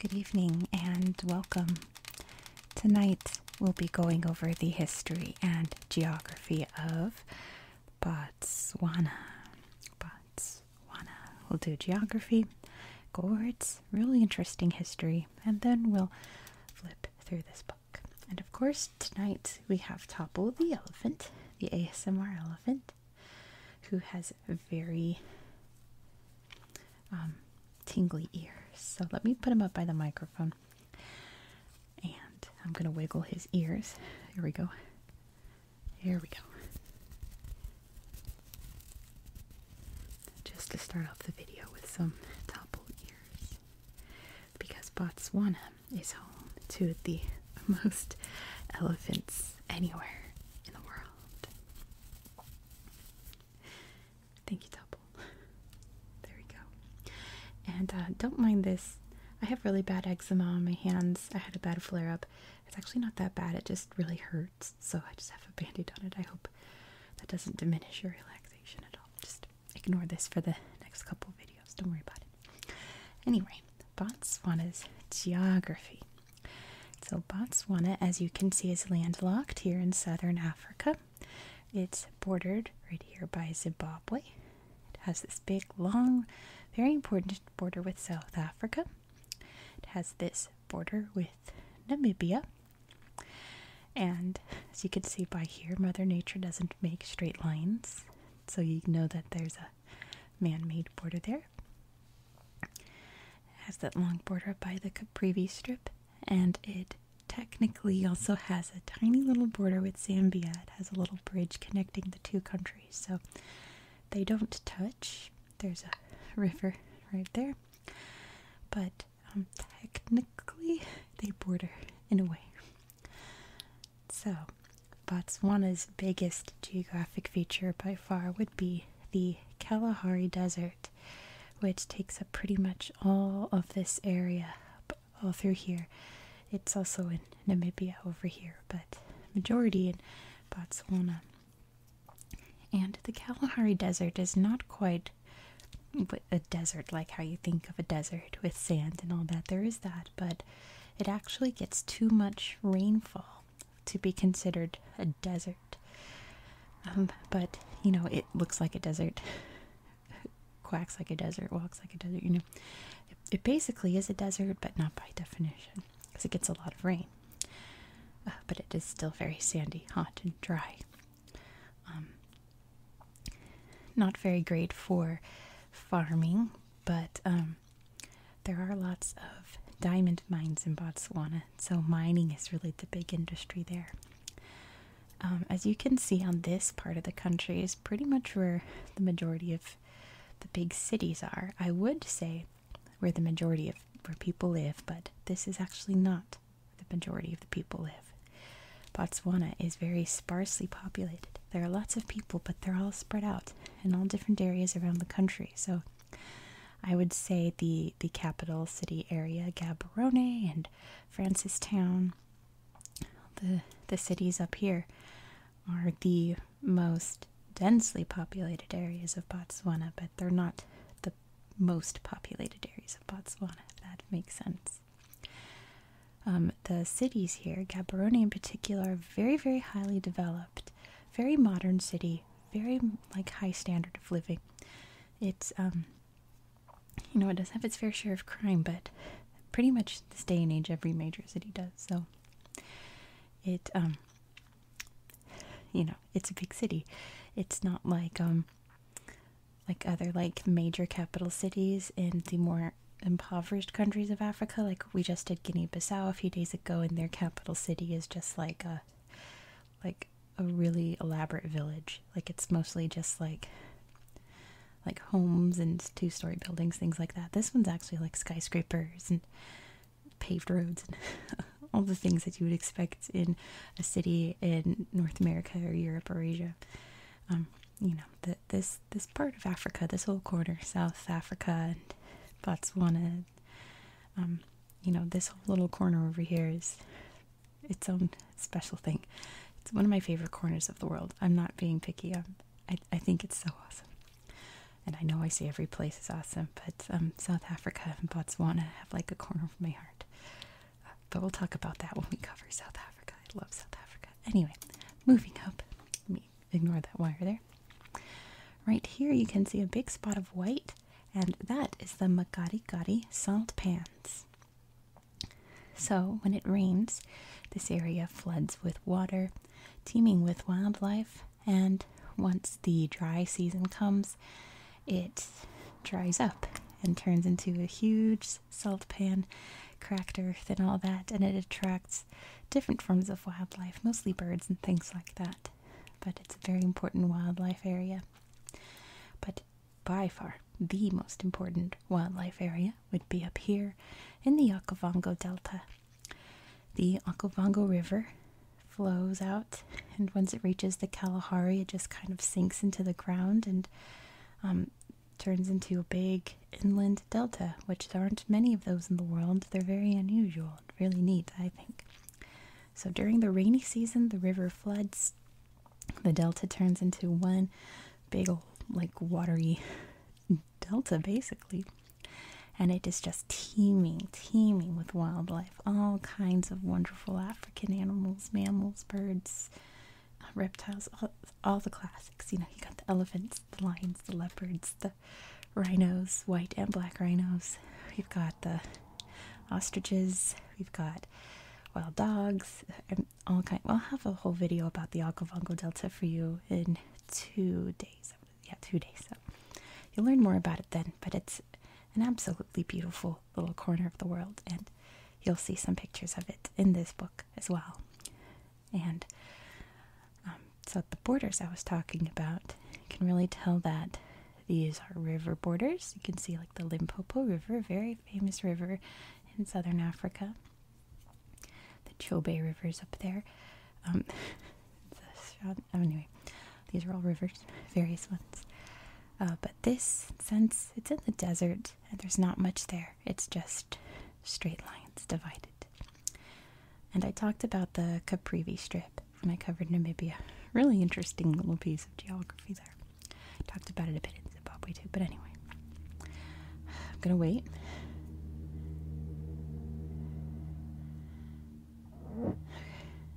Good evening and welcome. Tonight we'll be going over the history and geography of Botswana. Bots we will do geography. Gourds, really interesting history. And then we'll flip through this book. And of course, tonight we have Topple the elephant, the ASMR elephant, who has very um, tingly ears. So let me put him up by the microphone. And I'm going to wiggle his ears. Here we go. Here we go. Just to start off the video with some topple ears. Because Botswana is home to the most elephants anywhere in the world. Thank you, Topple. There we go. And uh, don't mind this. I have really bad eczema on my hands. I had a bad flare up. It's actually not that bad, it just really hurts. So I just have a bandaid on it. I hope that doesn't diminish your relaxation at all. Just ignore this for the next couple of videos. Don't worry about it. Anyway, Botswana's geography. So, Botswana, as you can see, is landlocked here in southern Africa. It's bordered right here by Zimbabwe. It has this big, long, very important border with South Africa. It has this border with Namibia. And as you can see by here, Mother Nature doesn't make straight lines, so you know that there's a man made border there. has that long border by the Caprivi Strip, and it technically also has a tiny little border with Zambia. It has a little bridge connecting the two countries, so they don't touch. There's a river right there. But um, technically, they border in a way. So, Botswana's biggest geographic feature by far would be the Kalahari Desert, which takes up pretty much all of this area, all through here. It's also in Namibia over here, but majority in Botswana. And the Kalahari Desert is not quite a desert like how you think of a desert with sand and all that. There is that, but it actually gets too much rainfall to be considered a desert. Um, but you know, it looks like a desert, quacks like a desert, walks like a desert. You know, it basically is a desert, but not by definition because it gets a lot of rain. Uh, but it is still very sandy, hot, and dry. Um, not very great for farming, but um, there are lots of diamond mines in Botswana, so mining is really the big industry there. Um, as you can see on this part of the country is pretty much where the majority of the big cities are. I would say where the majority of where people live, but this is actually not where the majority of the people live. Botswana is very sparsely populated. There are lots of people, but they're all spread out in all different areas around the country. So I would say the the capital city area, Gaborone and Francistown, the the cities up here are the most densely populated areas of Botswana, but they're not the most populated areas of Botswana, that makes sense. Um, the cities here, Gaborone in particular, are very, very highly developed, very modern city, very like high standard of living. It's um, you know, it does have its fair share of crime, but pretty much this day and age, every major city does. So it um you know it's a big city it's not like um like other like major capital cities in the more impoverished countries of africa like we just did guinea-bissau a few days ago and their capital city is just like a like a really elaborate village like it's mostly just like like homes and two-story buildings things like that this one's actually like skyscrapers and paved roads and all the things that you would expect in a city in North America or Europe or Asia. Um, you know, the, this this part of Africa, this whole corner, South Africa and Botswana, um, you know, this whole little corner over here is its own special thing. It's one of my favorite corners of the world. I'm not being picky. Um, I I think it's so awesome. And I know I say every place is awesome, but um, South Africa and Botswana have like a corner of my heart. Uh, but we'll talk about that when we cover South Africa. I love South Africa. Anyway, moving up. ignore that wire there. Right here, you can see a big spot of white, and that is the Magadi Makarikari salt pans. So, when it rains, this area floods with water, teeming with wildlife, and once the dry season comes, it dries up and turns into a huge salt pan, cracked earth, and all that, and it attracts different forms of wildlife, mostly birds and things like that. But it's a very important wildlife area. But by far, the most important wildlife area would be up here in the Okavango Delta the Okavango River flows out, and once it reaches the Kalahari, it just kind of sinks into the ground and um, turns into a big inland delta, which there aren't many of those in the world. They're very unusual really neat, I think. So during the rainy season, the river floods. The delta turns into one big, old, like, watery delta, basically and it is just teeming, teeming with wildlife, all kinds of wonderful African animals, mammals, birds, reptiles, all, the classics. You know, you got the elephants, the lions, the leopards, the rhinos, white and black rhinos. We've got the ostriches. We've got wild dogs. And all kind. we will have a whole video about the Okavango Delta for you in two days yeah, two days. So you'll learn more about it then. But it's an absolutely beautiful little corner of the world, and you'll see some pictures of it in this book as well. And um, so the borders I was talking about, you can really tell that these are river borders. You can see like the Limpopo River, very famous river in southern Africa the Chobe rivers up there. Um, oh, anyway, these are all rivers, various ones. Uh, but this, since it's in the desert and there's not much there, it's just straight lines divided. And I talked about the Caprivi Strip when I covered Namibia. Really interesting little piece of geography there. Talked about it a bit in Zimbabwe too, but anyway. I'm gonna wait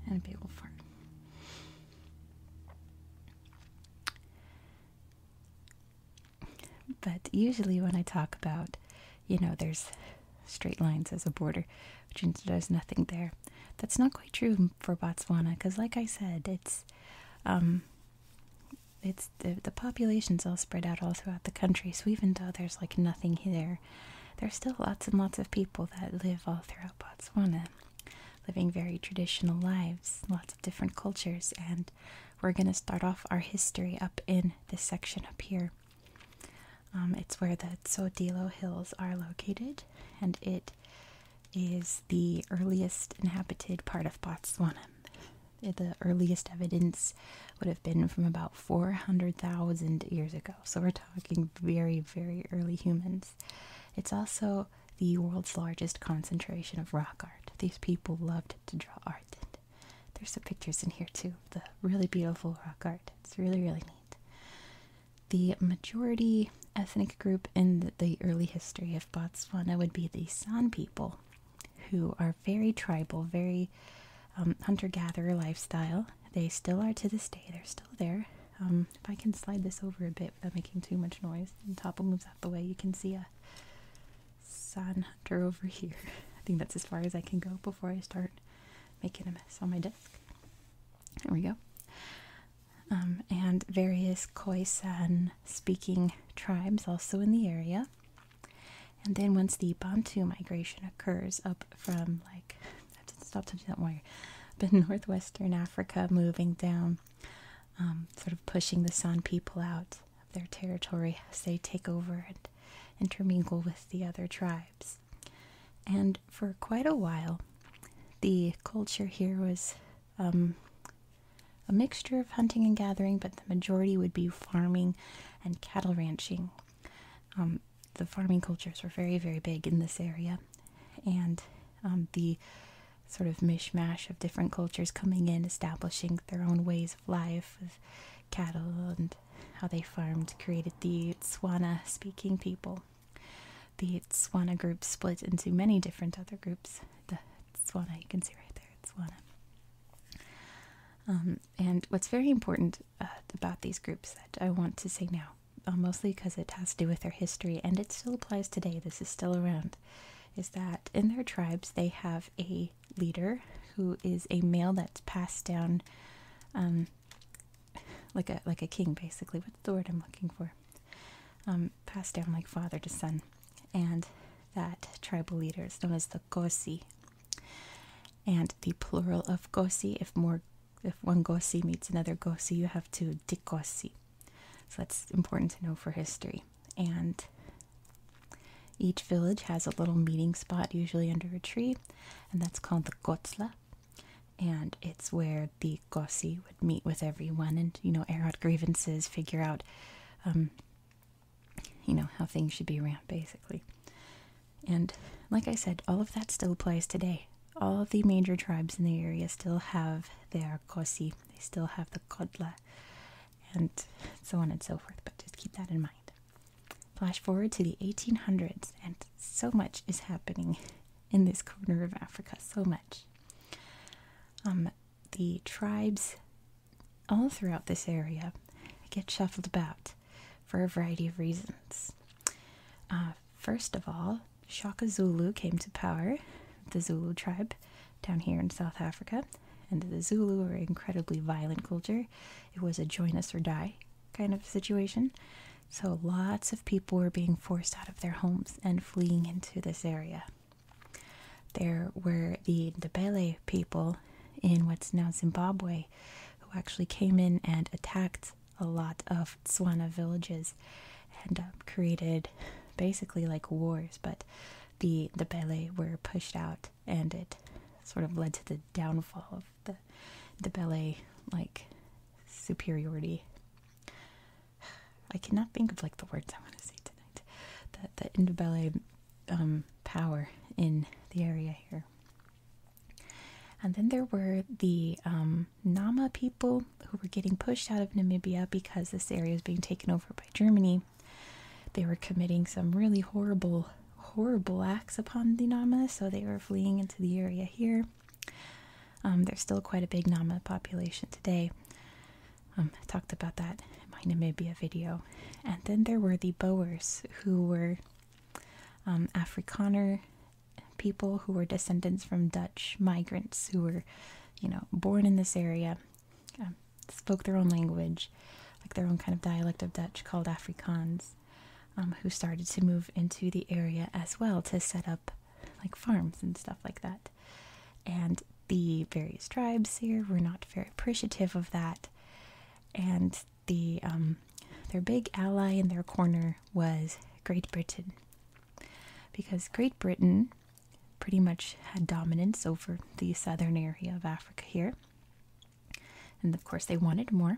and a big old fart. But usually, when I talk about, you know, there's straight lines as a border, which means there's nothing there. That's not quite true for Botswana, because, like I said, it's, um, it's the the population's all spread out all throughout the country. So even though there's like nothing there, there are still lots and lots of people that live all throughout Botswana, living very traditional lives, lots of different cultures, and we're going to start off our history up in this section up here. Um, it's where the Tsodilo Hills are located, and it is the earliest inhabited part of Botswana. The earliest evidence would have been from about 400,000 years ago. So we're talking very, very early humans. It's also the world's largest concentration of rock art. These people loved to draw art. there's some pictures in here too. of The really beautiful rock art. It's really, really neat. The majority ethnic group in the early history of Botswana would be the San people who are very tribal, very um, hunter gatherer lifestyle. They still are to this day, they're still there. Um, if I can slide this over a bit without making too much noise, and Topple moves out the way, you can see a sun hunter over here. I think that's as far as I can go before I start making a mess on my desk. There we go. Um, and various Khoisan speaking tribes also in the area. And then once the Bantu migration occurs up from like, I have to stop touching that wire, but northwestern Africa moving down, um, sort of pushing the San people out of their territory as they take over and intermingle with the other tribes. And for quite a while, the culture here was um, a mixture of hunting and gathering, but the majority would be farming and cattle ranching. Um, the farming cultures were very, very big in this area, and um, the sort of mishmash of different cultures coming in, establishing their own ways of life with cattle and how they farmed, created the Tswana speaking people. The Tswana group split into many different other groups. The Tswana, you can see right there, Tswana. Um, and what's very important uh, about these groups that I want to say now, uh, mostly because it has to do with their history and it still applies today. This is still around. Is that in their tribes they have a leader who is a male that's passed down, um, like a like a king basically. What's the word I'm looking for? Um, passed down like father to son, and that tribal leader is known as the Kosi. And the plural of gosi, if more if one gosi meets another gosi, you have to dikosi. So that's important to know for history. And each village has a little meeting spot, usually under a tree, and that's called the kotsla. And it's where the gosi would meet with everyone and, you know, air out grievances, figure out um, you know, how things should be ran, basically. And like I said, all of that still applies today. All of the major tribes in the area still have their kosi, they still have the kodla, and so on and so forth, but just keep that in mind. Flash forward to the 1800s, and so much is happening in this corner of Africa, so much. Um, the tribes all throughout this area get shuffled about for a variety of reasons. Uh, first of all, Shaka Zulu came to power, the Zulu tribe down here in South Africa, and the Zulu are an incredibly violent culture. It was a join us or die kind of situation. So lots of people were being forced out of their homes and fleeing into this area. There were the Ndebele people in what's now Zimbabwe who actually came in and attacked a lot of Swana villages and um, created basically like wars, but the the Bele were pushed out, and it sort of led to the downfall of the the Bele like superiority. I cannot think of like the words I want to say tonight. That the Indibele um, power in the area here. And then there were the um, Nama people who were getting pushed out of Namibia because this area was being taken over by Germany. They were committing some really horrible, horrible acts upon the Nama, so they were fleeing into the area here. Um, there's still quite a big Nama population today. Um, I talked about that in my Namibia video. And then there were the Boers who were um, Afrikaner people who were descendants from Dutch migrants who were, you know, born in this area, um, spoke their own language, like their own kind of dialect of Dutch called Afrikaners, um, who started to move into the area as well to set up like farms and stuff like that. And the various tribes here were not very appreciative of that. And the um, their big ally in their corner was Great Britain, because Great Britain pretty much had dominance over the southern area of Africa here, and of course they wanted more.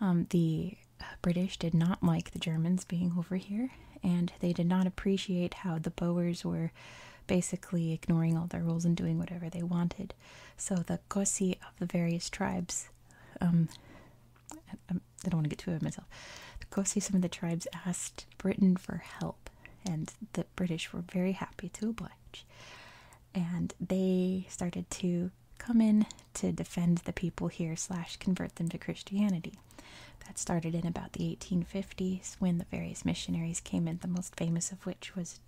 Um, the British did not like the Germans being over here, and they did not appreciate how the Boers were basically ignoring all their rules and doing whatever they wanted. So the the Kosi of the various tribes. Um, um, I, don't want to get too ahead of myself. The Kosi, some of the tribes, asked Britain for help, and the British were very happy to oblige. And they started to come in to defend the people here, slash, convert them to Christianity. That started in about the 1850s when the various missionaries came in, the most famous of which was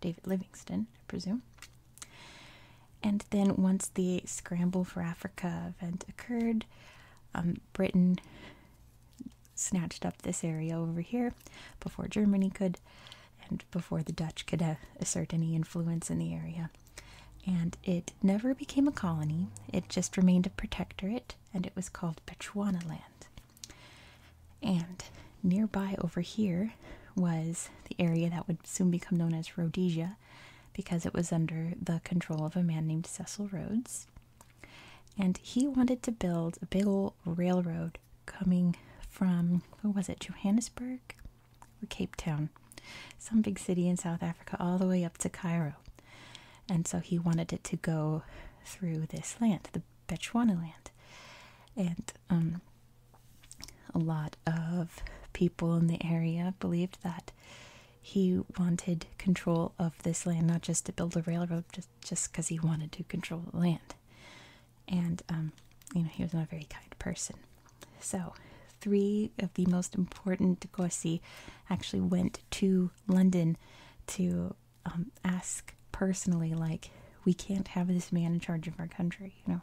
David Livingston, I presume. And then once the Scramble for Africa event occurred, um, Britain snatched up this area over here before Germany could and before the Dutch could uh, assert any influence in the area. And it never became a colony, it just remained a protectorate, and it was called Bechuanaland. And nearby over here was the area that would soon become known as Rhodesia because it was under the control of a man named Cecil Rhodes. And he wanted to build a big old railroad coming from, what was it, Johannesburg or Cape Town? Some big city in South Africa, all the way up to Cairo. And so he wanted it to go through this land, the Bechuanaland, And um, a lot of people in the area believed that he wanted control of this land, not just to build a railroad, just just because he wanted to control the land. And um, you know, he was not a very kind person. So, three of the most important Degosi actually went to London to um, ask personally like we can't have this man in charge of our country you know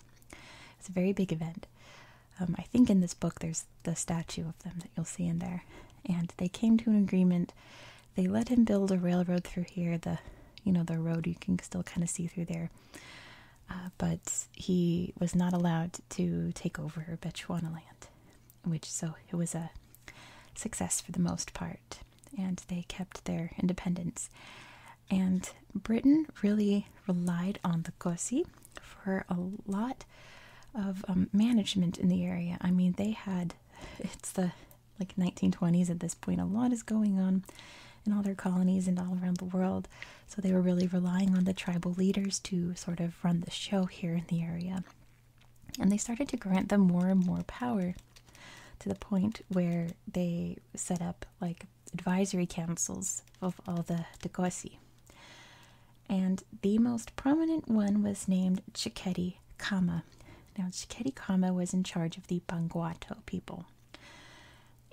it's a very big event um, i think in this book there's the statue of them that you'll see in there and they came to an agreement they let him build a railroad through here the you know the road you can still kind of see through there uh, but he was not allowed to take over bechuanaland which so it was a success for the most part and they kept their independence. And Britain really relied on the Kosi for a lot of um, management in the area. I mean, they had, it's the like 1920s at this point, a lot is going on in all their colonies and all around the world. So they were really relying on the tribal leaders to sort of run the show here in the area. And they started to grant them more and more power to the point where they set up like advisory councils of all the Dagosi. And the most prominent one was named Chiketti Kama. Now, Chiketti Kama was in charge of the Bangwato people.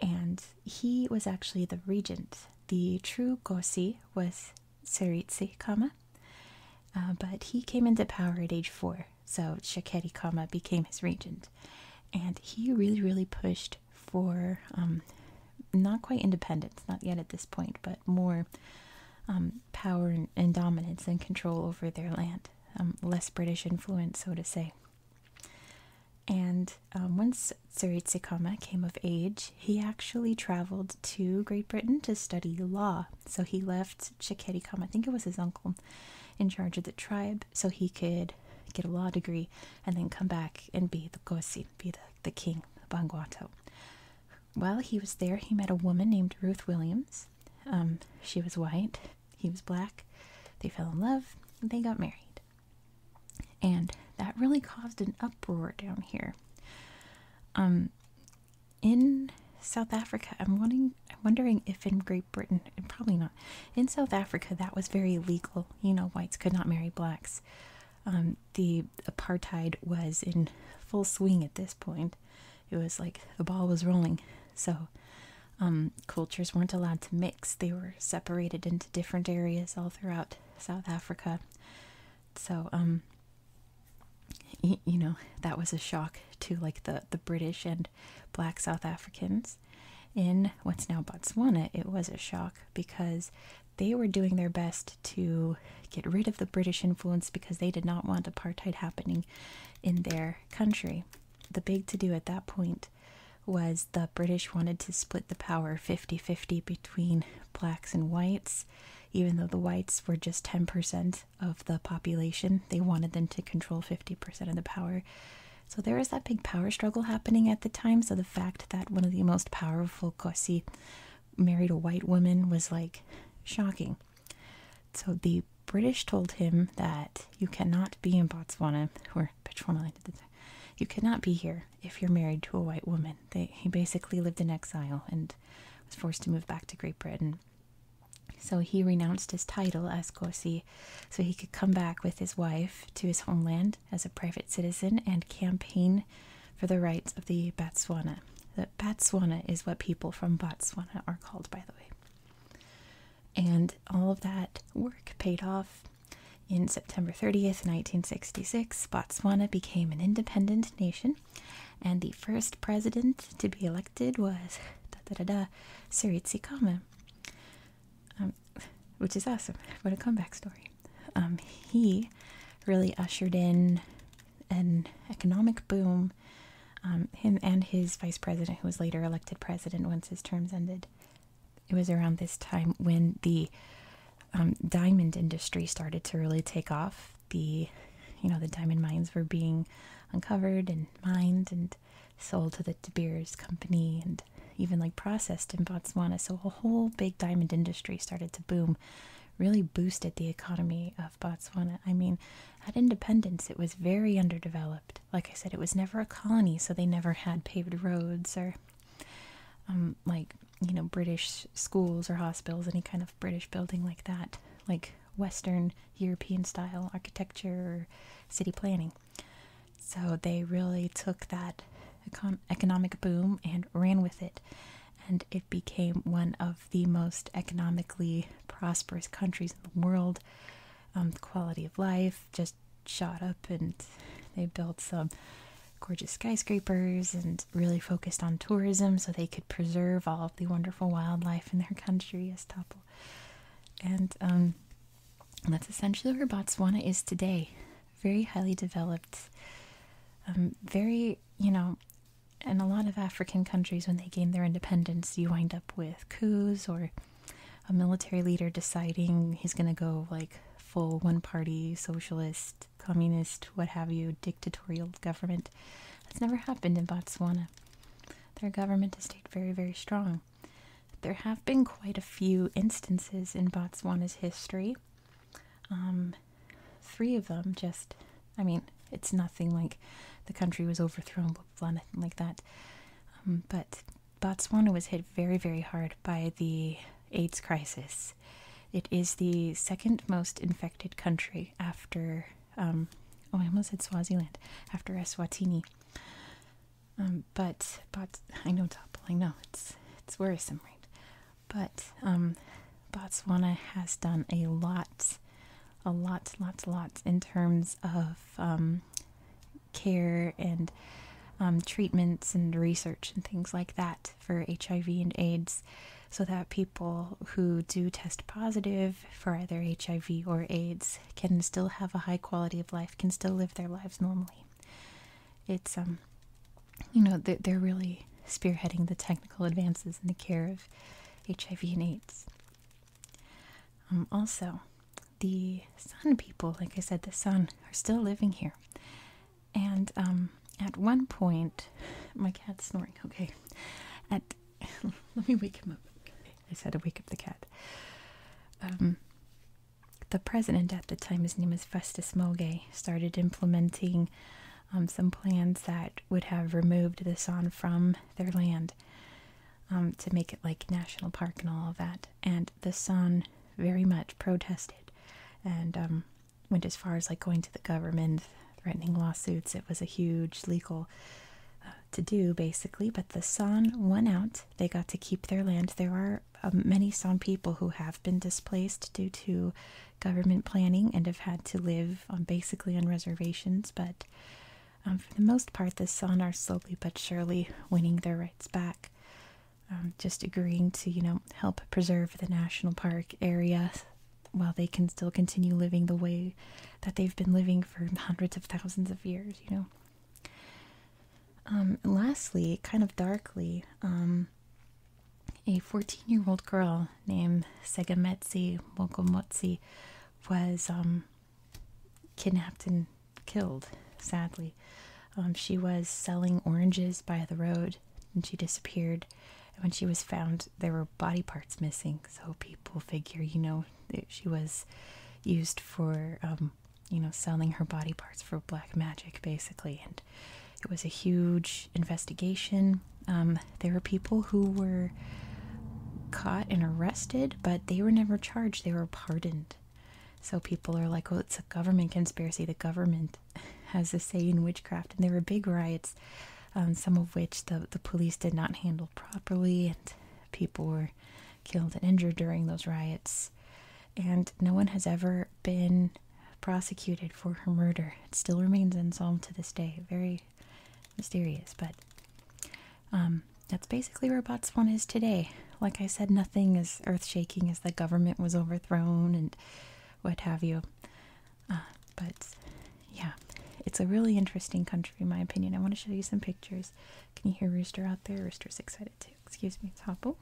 And he was actually the regent. The true Gosi was Seritsi Kama, uh, but he came into power at age four so Shaketi Kama became his regent. And he really, really pushed for um, not quite independence, not yet at this point, but more um, power and, dominance and control over their land, um, less British influence, so to say. And um, once Tsuritsikama came of age, he actually traveled to Great Britain to study law. So he left Kama. I think it was his uncle, in charge of the tribe so he could get a law degree and then come back and be the Gosin, be the, the king of banguato. While he was there, he met a woman named Ruth Williams. Um, she was white, he was black. They fell in love, and they got married. And that really caused an uproar down here. Um, in South Africa, I'm wanting I'm wondering if in Great Britain, probably not, in South Africa, that was very legal. You know, whites could not marry blacks. Um, the apartheid was in full swing at this point. It was like the ball was rolling. So um, cultures weren't allowed to mix. They were separated into different areas all throughout South Africa. So, um, you know, that was a shock to like the, the British and black South Africans. In what's now Botswana, it was a shock because they were doing their best to get rid of the British influence because they did not want apartheid happening in their country. The big to do at that point was the British wanted to split the power 50 50 between blacks and whites, even though the whites were just 10% of the population. They wanted them to control 50% of the power. So there is that big power struggle happening at the time. So the fact that one of the most powerful Kosi married a white woman was like shocking. So the British told him that you cannot be in Botswana or Botswana. You cannot be here if you're married to a white woman. he basically lived in exile and was forced to move back to Great Britain. So he renounced his title as Corsi so he could come back with his wife to his homeland as a private citizen and campaign for the rights of the Botswana. The Botswana is what people from Botswana are called, by the way. And all of that work paid off. In September 30th, 1966, Botswana became an independent nation, and the first president to be elected was da, Kama. Um, which is awesome. What a comeback story. Um, he really ushered in an economic boom. Um, him and his vice president, who was later elected president once his terms ended, it was around this time when the diamond industry started to really take off. The, you know, the diamond mines were being uncovered and mined, and sold to the De Beers company and even like processed in Botswana. So a whole big diamond industry started to boom, really boosted the economy of Botswana. I mean, at independence, it was very underdeveloped. Like I said, it was never a colony, so they never had paved roads or um, like, you know, British schools or hospitals, any kind of British building like that, like Western European style architecture or city planning. So they really took that economic boom and ran with it, and it became one of the most economically prosperous countries in the world. Um, quality of life just shot up, and they built some gorgeous skyscrapers and really focused on tourism so they could preserve all of the wonderful wildlife in their country as Topple. And um, and that's essentially where Botswana is today. Very highly developed, um, very, you know, in a lot of African countries, when they gain their independence, you wind up with coups or a military leader deciding he's going to go like full one party socialist, communist, what have you, dictatorial government. That's never happened in Botswana. Their government has stayed very, very strong. There have been quite a few instances in Botswana's history. Um, three of them just, I mean, it's nothing like the country was overthrown, blah, blah, nothing like that. Um, but Botswana was hit very, very hard by the AIDS crisis. It is the second most infected country after, um, oh, I almost said Swaziland, after Eswatini. Um, but but I know Topple. I know it's it's worrisome, right? But um, Botswana has done a lot, a lot, lots, lots in terms of um, care and treatments and research and things like that for HIV and AIDS, so that people who do test positive for either HIV or AIDS can still have a high quality of life, can still live their lives normally. It's um, you know, they're, really spearheading the technical advances in the care of HIV and AIDS. Um, also, the Sun people, like I said, the Sun are still living here, and um, at one point, my cat's snoring. Okay, at let me wake him up. I said, wake up the cat. Um, the president at the time, his name was Festus Mogae, started implementing um, some plans that would have removed the San from their land um, to make it like national park and all of that. And the San very much protested and went as far as like going to the government, threatening lawsuits. It was a huge legal uh, to do basically, but the San won out they got to keep their land. There are um, many San people who have been displaced due to government planning and have had to live um, basically on reservations, but um, for the most part, the San are slowly but surely winning their rights back. just agreeing to, you know, help preserve the national park area while they can still continue living the way that they've been living for hundreds of thousands of years, you know. Um, lastly, kind of darkly, um, a 14 year old girl named Segametsi Mokomotsi was um, kidnapped and killed, sadly. Um, she was selling oranges by the road and she disappeared. And when she was found, there were body parts missing. So people figure, you know, she was used for you know, selling her body parts for black magic, basically. And it was a huge investigation. Um, there were people who were caught and arrested, but they were never charged. They were pardoned. So people are like, "Oh, it's a government conspiracy. The government has a say in witchcraft." And there were big riots, um, some of which the the police did not handle properly, and people were killed and injured during those riots, and no one has ever been prosecuted for her murder. It still remains unsolved to this day. Very mysterious, but um, that's basically where Botswana is today. Like I said, nothing as earth-shaking as the government was overthrown and what have you. Uh, but yeah, it's a really interesting country, in my opinion. I want to show you some pictures. Can you hear Rooster out there? Rooster's excited too. Excuse me, it's Topple.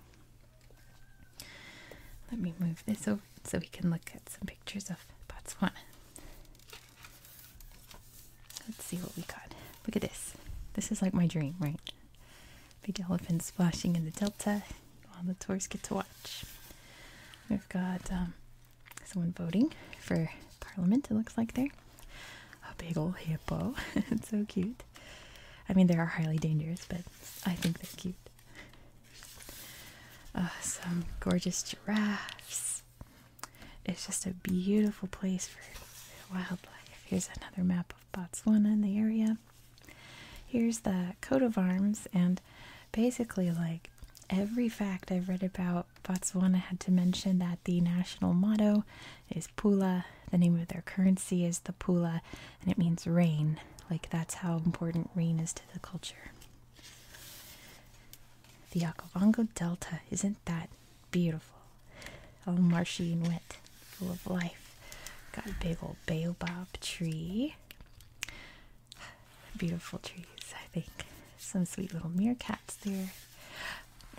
Let me move this over so we can look at some pictures of Botswana. Let's see what we got. Look at this. This is like my dream, right? Big elephant splashing in the delta while the tourists get to watch. We've got um, someone voting for Parliament, it looks like there. A big old hippo. it's so cute. I mean, they are highly dangerous, but I think they're cute. Uh, some gorgeous giraffes. It's just a beautiful place for wildlife. Here's another map of Botswana and the area. Here's the coat of arms, and basically, like every fact I've read about Botswana, had to mention that the national motto is Pula. The name of their currency is the Pula, and it means rain. Like, that's how important rain is to the culture. The Okavango Delta, isn't that beautiful? All marshy and wet, full of life. Got a big old baobab tree. Beautiful trees, I think. Some sweet little meerkats there.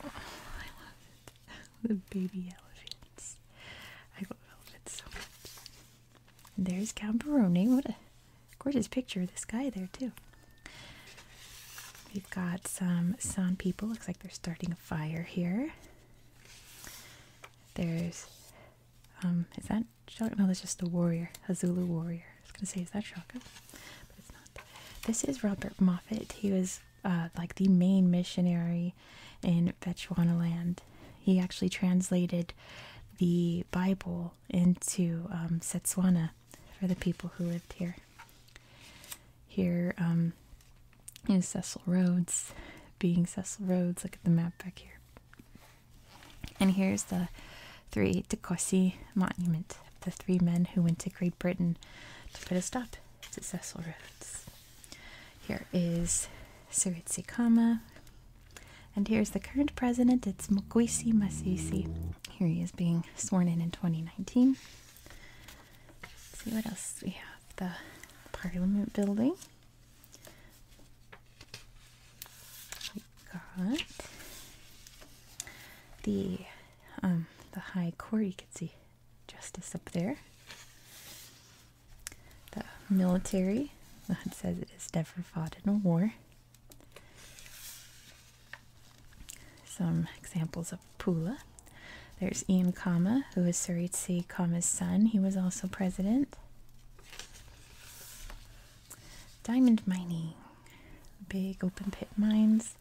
Oh, I love it. the baby elephants. I love elephants so much. there's Camperoni. What a gorgeous picture of this guy there too. We've got some sun people. Looks like they're starting a fire here. There's, um, is that Shaka? No, that's just the warrior, a Zulu warrior. I was gonna say, is that Shaka? But it's not. This is Robert Moffat. He was uh, like the main missionary in Bechuanaland. He actually translated the Bible into um, Setswana for the people who lived here. Here um, is Cecil Rhodes, being Cecil Rhodes. Look at the map back here. And here's the Three De Tekosi Monument, the three men who went to Great Britain to put a stop successful roads. Here is Suritsikama. And here's the current president, it's Mukwisi Masisi. Here he is being sworn in in 2019. see what else we have. The Parliament building. We got the um, the High Court. You can see Justice up there. The military. Well, it says it has never fought in a war. Some examples of Pula. There's Ian Kama, who is Saritsi Kama's son. He was also president. Diamond mining. Big open pit mines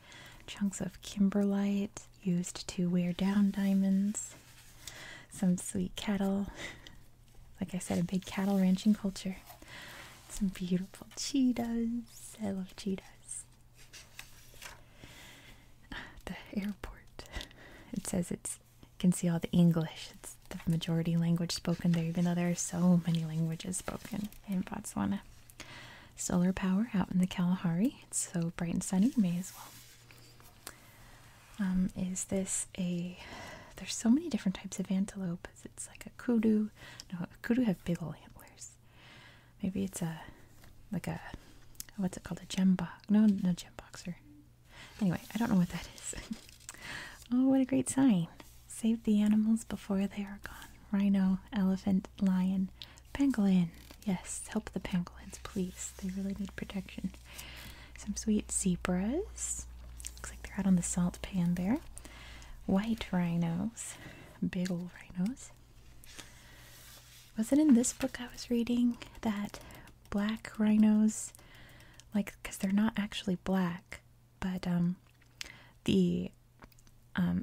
chunks of kimberlite used to wear down diamonds, some sweet cattle. Like I said, a big cattle ranching culture. Some beautiful cheetahs. I love cheetahs. The airport. It says it's you can see all the English. It's the majority language spoken there, even though there are so many languages spoken in Botswana solar power out in the Kalahari. It's so bright and sunny, may as well. Um, is this a? There's so many different types of antelope. It's like a kudu. No, kudu have big old antlers. Maybe it's a like a what's it called? A gem box? No, no gem boxer. Anyway, I don't know what that is. oh, what a great sign! Save the animals before they are gone. Rhino, elephant, lion, Pangolin. Yes, help the pangolins, please. They really need protection. Some sweet zebras. Looks like they're out on the salt pan there. White rhinos. Big old rhinos. Was it in this book I was reading that black rhinos, like, because they're not actually black, but um, the um,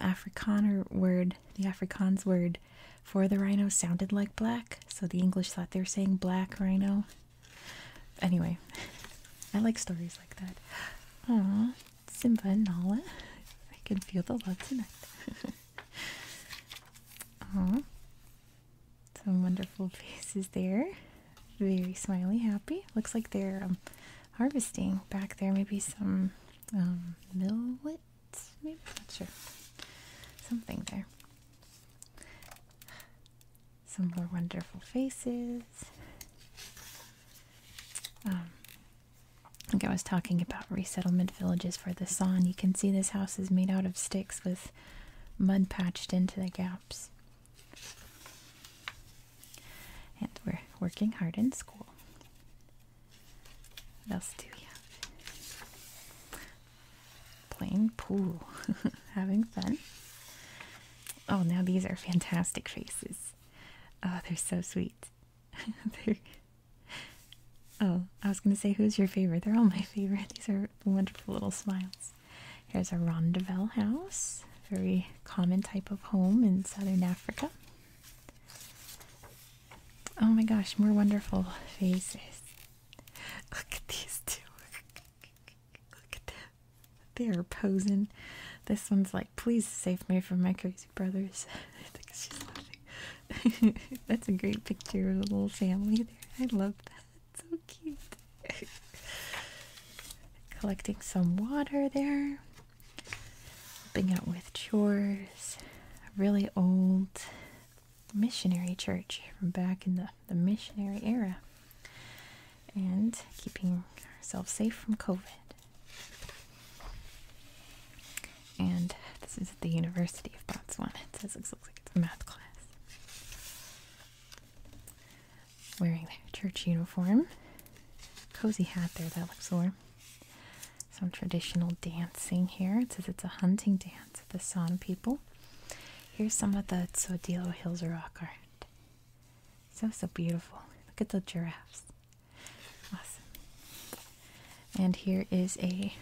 word, the Afrikaans word for the rhino sounded like black, so the English thought they were saying black rhino. Anyway, I like stories like that. Aww, Simba and Nala. I can feel the love tonight. Aww. Some wonderful faces there. Very smiley, happy. Looks like they're um, harvesting back there. Maybe some um, millet maybe not sure. Something there. Some more wonderful faces. Um, I think I was talking about resettlement villages for the San. You can see this house is made out of sticks with mud patched into the gaps. And we're working hard in school. What else do we have? Playing pool, having fun. Oh, now these are fantastic faces. Oh, they're so sweet. Oh, I was going to say, who's your favorite? They're all my favorite. These are wonderful little smiles. Here's a rondavel house, very common type of home in southern Africa. Oh my gosh, more wonderful faces. Look at these two. Look at them. They are posing. This one's like, please save me from my crazy brothers. That's a great picture of the little family there. I love that. so cute. Collecting some water there helping out with chores. A really old missionary church from back in the, missionary era. And keeping ourselves safe from COVID. And this is at the University of Botswana. It it looks like it's a math class. Wearing their church uniform. Cozy hat there, that looks warm some traditional dancing here. It says it's a hunting dance of the San people. Here's some of the Tsodilo Hills rock art. So, so beautiful. Look at the giraffes. Awesome. And here is a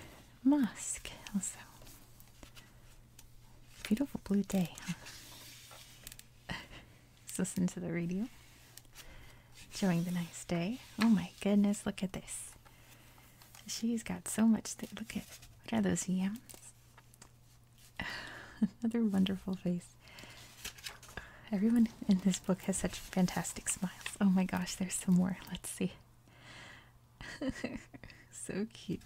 mosque also. Beautiful blue day, Let's listen to the radio. Enjoying the nice day. Oh my goodness, look at this. She's got so much. Th look at, what are those yams? Another wonderful face. Everyone in this book has such fantastic smiles. Oh my gosh, there's some more. Let's see. so cute.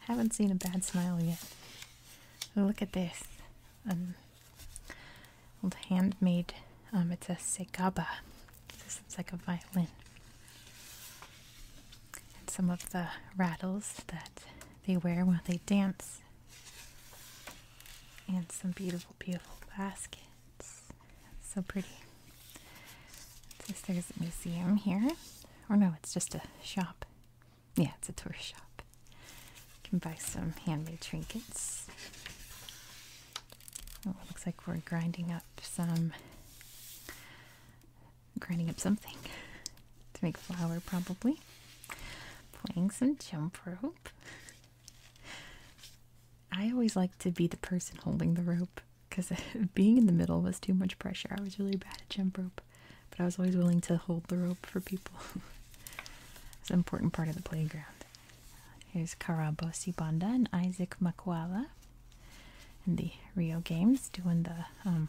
Haven't seen a bad smile yet. Look at this. Um, Old handmade, um, it's a segaba. This looks like a violin. And some of the rattles that they wear while they dance. And some beautiful, beautiful baskets. So pretty. It says a museum here. Or no, it's just a shop. Yeah, it's a tourist shop. You can buy some handmade trinkets. Oh, looks like we're grinding up some grinding up something to make flour probably. Playing some jump rope. I always like to be the person holding the rope because being in the middle was too much pressure. I was really bad at jump rope but I was always willing to hold the rope for people. it's an important part of the playground. Here's Karabosi Banda and Isaac Makwala in the Rio Games doing the um,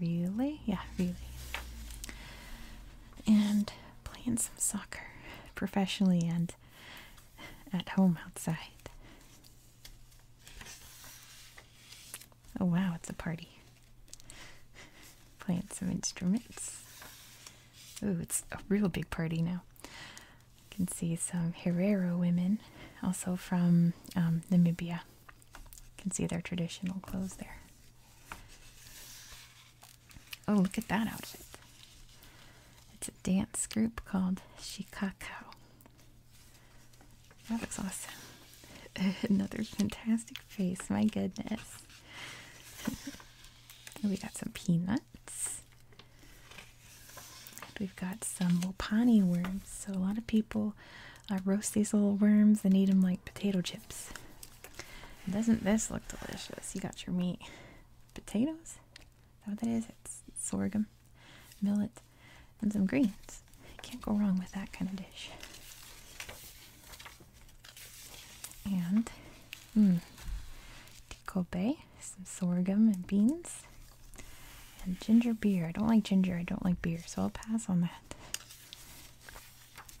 relay. Yeah, relay. And playing some soccer professionally and at home outside. Oh wow, it's a party. Playing some instruments. Oh, it's a real big party now. You can see some Herero women, also from um, Namibia. You can see their traditional clothes there. Oh, look at that outfit. It's a dance group called Shikako. That looks awesome. Another fantastic face, my goodness. we got some peanuts. we've got some Wapani worms. So, a lot of people uh, roast these little worms and eat them like potato chips. Doesn't this look delicious? You got your meat. Potatoes? Is that what that is? It's sorghum, millet, and some greens. Can't go wrong with that kind of dish. And mm, tikobe, some sorghum and beans, and ginger beer. I don't like ginger, I don't like beer, so I'll pass on that.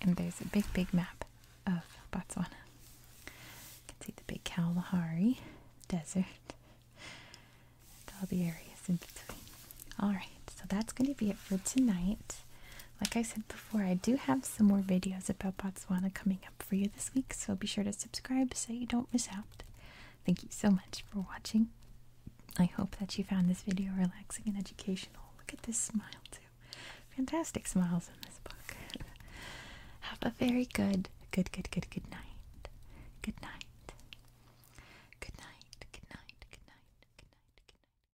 And there's a big, big map of Botswana. You can see the big Kalahari desert, all the areas in between. Alright, so that's going to be it for tonight. Like I said before, I do have some more videos about Botswana coming up for you this week, so be sure to subscribe so you don't miss out. Thank you so much for watching. I hope that you found this video relaxing and educational. Look at this smile, too. Fantastic smiles in this book. have a very good, good, good, good, good night. Good night. Good night. Good night. Good night. Good night. Good night.